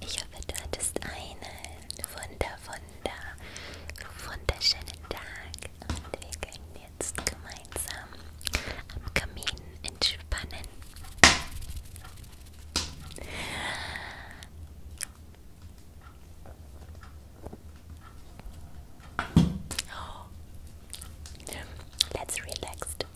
Ich hoffe, du hattest einen wunder, wunder, wunderschönen Tag und wir können jetzt gemeinsam am Kamin entspannen. Oh. Let's relax.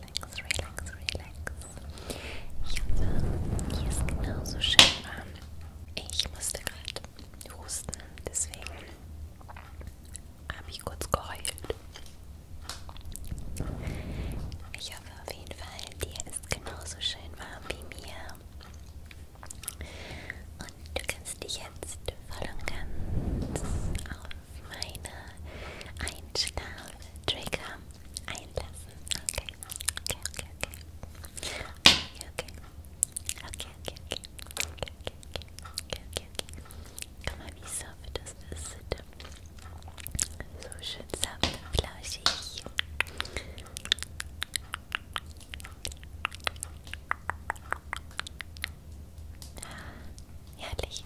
relax, relax, relax. Ich hoffe, hier ist genauso schön warm. Ich musste gerade husten, deswegen habe ich kurz geheult. Ich hoffe auf jeden Fall, dir ist genauso schön warm wie mir. Und du kannst dich jetzt voll und ganz auf meine Einschlaf-Trigger einlassen. Okay, okay, okay, okay. Okay, okay. Okay, okay, okay. Okay, okay, okay. Okay, okay, Guck mal, wie sanft das ist. So schön sanft und flauschig. Herrlich.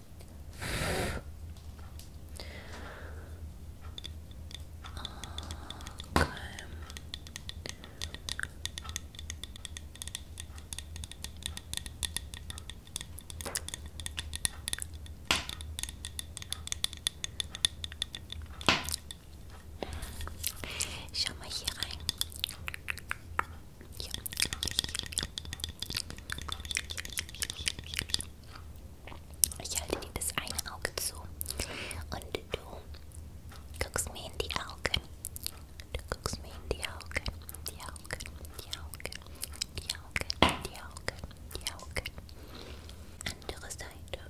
Okay. Schau mal hier rein. Ja. Ich halte dir das eine Auge zu und du guckst mir in die Augen. Du guckst mir in die Augen, die Augen, die Augen, die Augen, die Augen, die Augen. Andere Seite.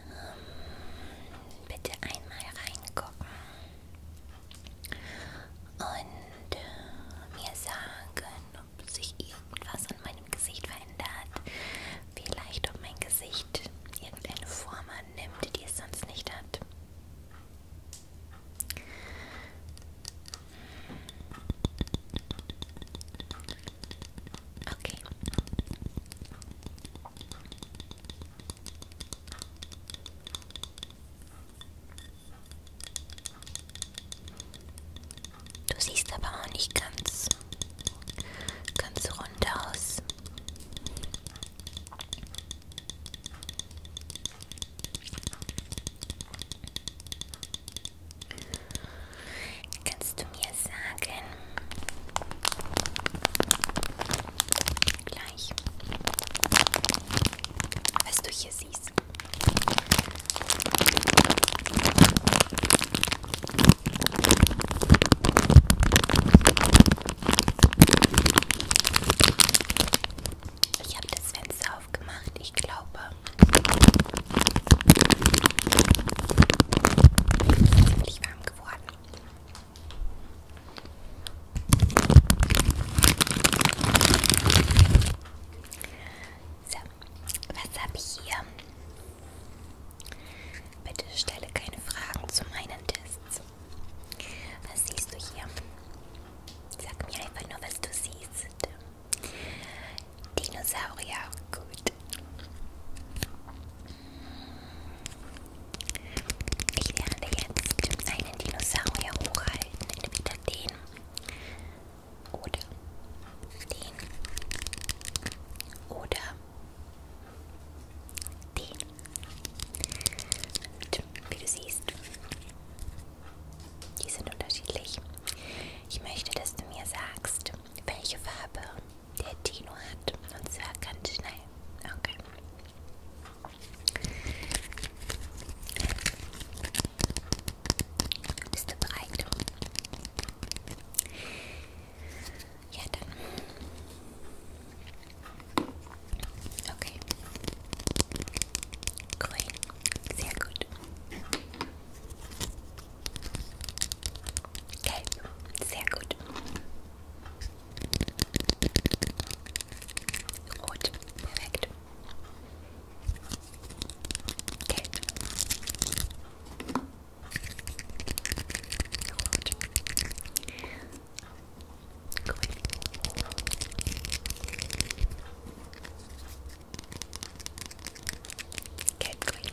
Ähm, bitte einmal reingucken und äh, mir sagen, ob sich irgendwas an meinem Gesicht verändert. Vielleicht, ob mein Gesicht irgendeine Form annimmt, die es sonst nicht hat. Okay. Du siehst aber auch nicht ganz, ganz rund aus. Kannst du mir sagen? Gleich. Was du hier siehst. Ich habe das Fenster aufgemacht. Ich glaube, bin warm geworden. So, was habe ich hier? Bitte stelle keine Fragen zu meinen Tests. Was siehst du hier? Sag mir einfach nur, was du siehst. Dinosaurier, gut. Ich werde jetzt einen Dinosaurier hochhalten, entweder den oder den oder den. Und wie du siehst, die sind unterschiedlich. Ich möchte, dass du mir sagst, welche Farbe der Tino hat. Und zwar ganz schnell. Okay. Bist du bereit? Ja, dann. Okay. Grün. Sehr gut. Gelb, sehr gut. Rot, perfekt. Gelb. Rot. Grün. Gelb, grün.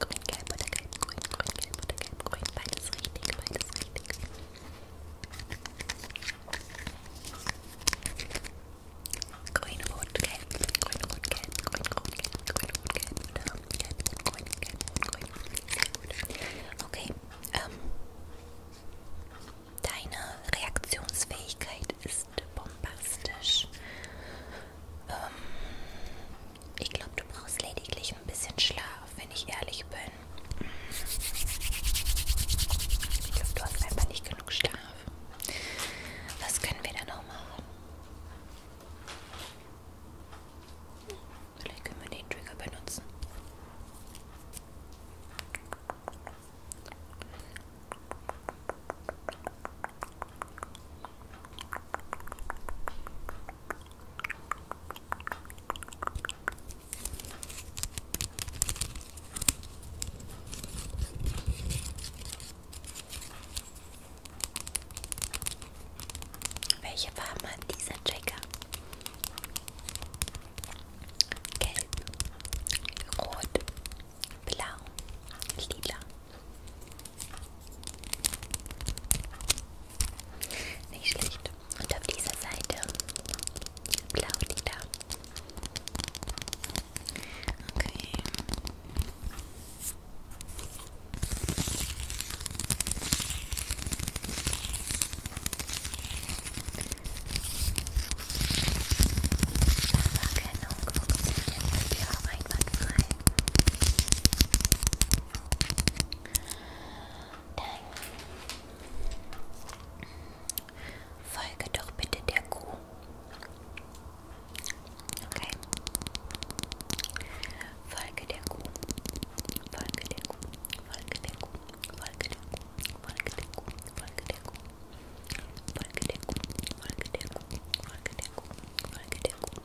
Grün, gelb oder gelb, grün, grün, gelb oder gelb, grün. Beides richtig, beides richtig. Grün, rot, gelb, grün, rot, gelb, grün, rot, gelb, grün, rot, gelb oder gelb, rot, grün, gelb, rot, grün. Sehr gut. Okay, ähm, deine Reaktionsfähigkeit ist bombastisch. Ähm, ich glaube, du brauchst lediglich ein bisschen Schlaf, wenn ich ehrlich bin. Ich glaube, du hast einfach nicht genug Schlaf. Was können wir da noch machen? Vielleicht können wir den Trigger benutzen. Welche Farbe hat dieser Checker? Gelb, Rot, Blau, Lila. Nicht schlecht. Und auf dieser Seite blau nieder. Okay. Farberkennung funktioniert bei dir auch einwandfrei. Dann folge doch bitte der Kuh. Okay. Folge der Kuh. Folge der Kuh. Folge der Kuh. Folge der Kuh. Folge der Kuh. Folge der Kuh. Folge der Kuh. Folge der Kuh. Folge der Kuh. Folge der Kuh.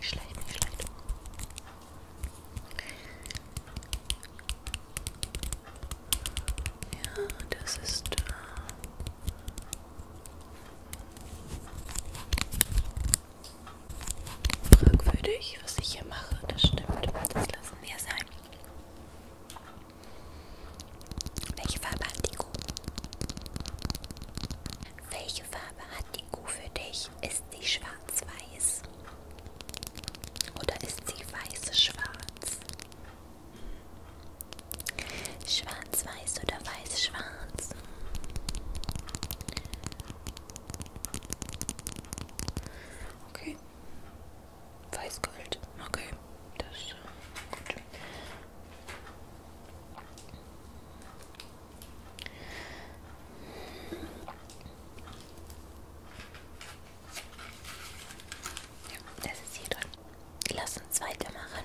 Schlecht, nicht schlecht. Ja, das ist. Äh Fragwürdig, was ich hier mache, das stimmt. Das lassen wir sein. Welche Farbe hat die Kuh? Welche Farbe hat die Kuh für dich? Ist sie schwarz-weiß? Oder ist sie weiß-schwarz? Schwarz-weiß oder weiß-schwarz? Okay. Weißgold. Okay. Das ist äh, gut. Ja, das ist hier drin. Lass uns weitermachen.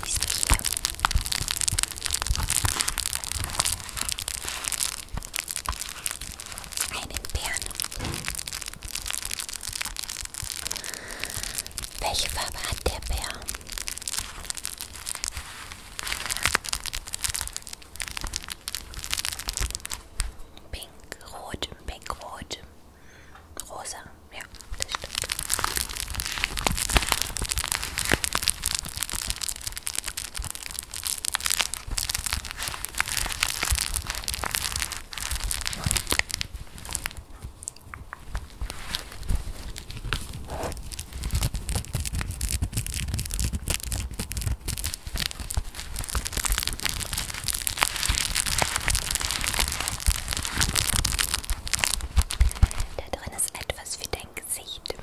Was siehst du hier? Einen Bären. Welche Farbe hat der Bär? Pink, rot, pink, rot, rosa. Ja, das stimmt. Da drin ist etwas für dein Gesicht.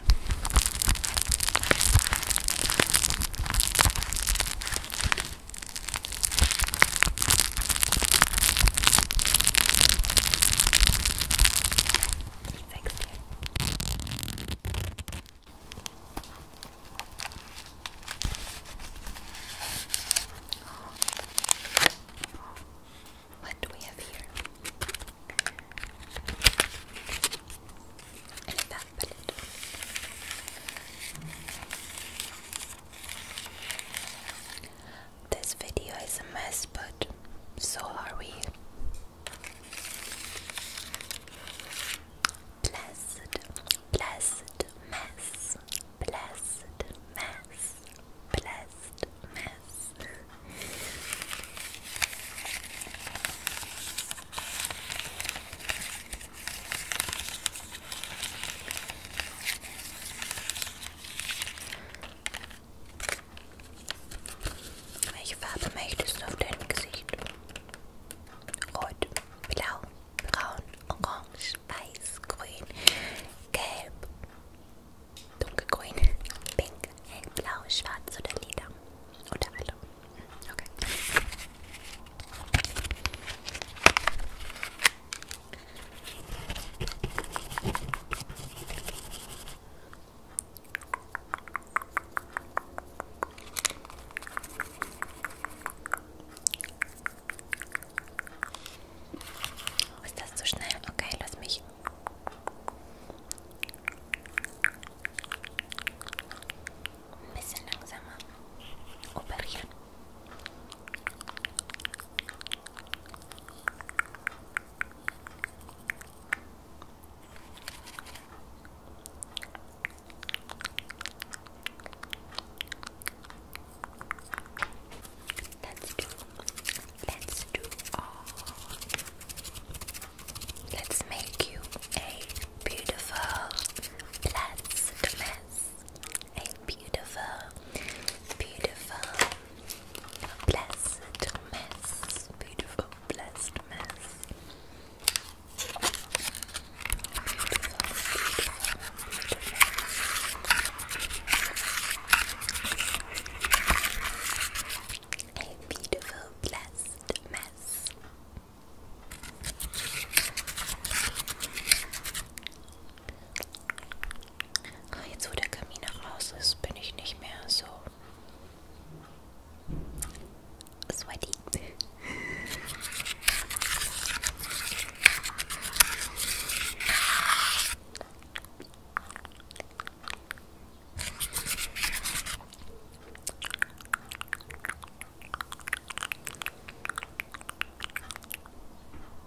Thanks, dear. What do we have here? An palette. This video is a mess, but so are we. Blessed, blessed mess, blessed mess, blessed mess. Welche Farbe möchtest du auf deinem Gesicht? Rot, blau, braun, orange, weiß, grün, gelb, dunkelgrün, pink, hellblau, schwarz oder lila. Oder alle. Okay. Oh, ist das zu schnell? Okay, lass mich. Ein bisschen langsamer operieren. Let's do, let's do Let's make you a beautiful, blessed mess a beautiful, beautiful, blessed mess. Beautiful, blessed mess. A beautiful, blessed mess. Ah, jetzt, wo der Kamin raus ist, bin ich nicht mehr so sweaty.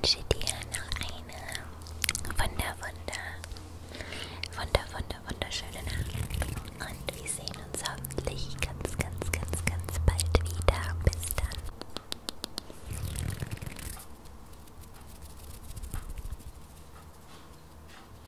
Ich wünsche dir noch eine wunder, wunder, wunder, wunder, wunderschöne Nacht. Und wir sehen uns hoffentlich ganz, ganz, ganz, ganz bald wieder. Bis dann.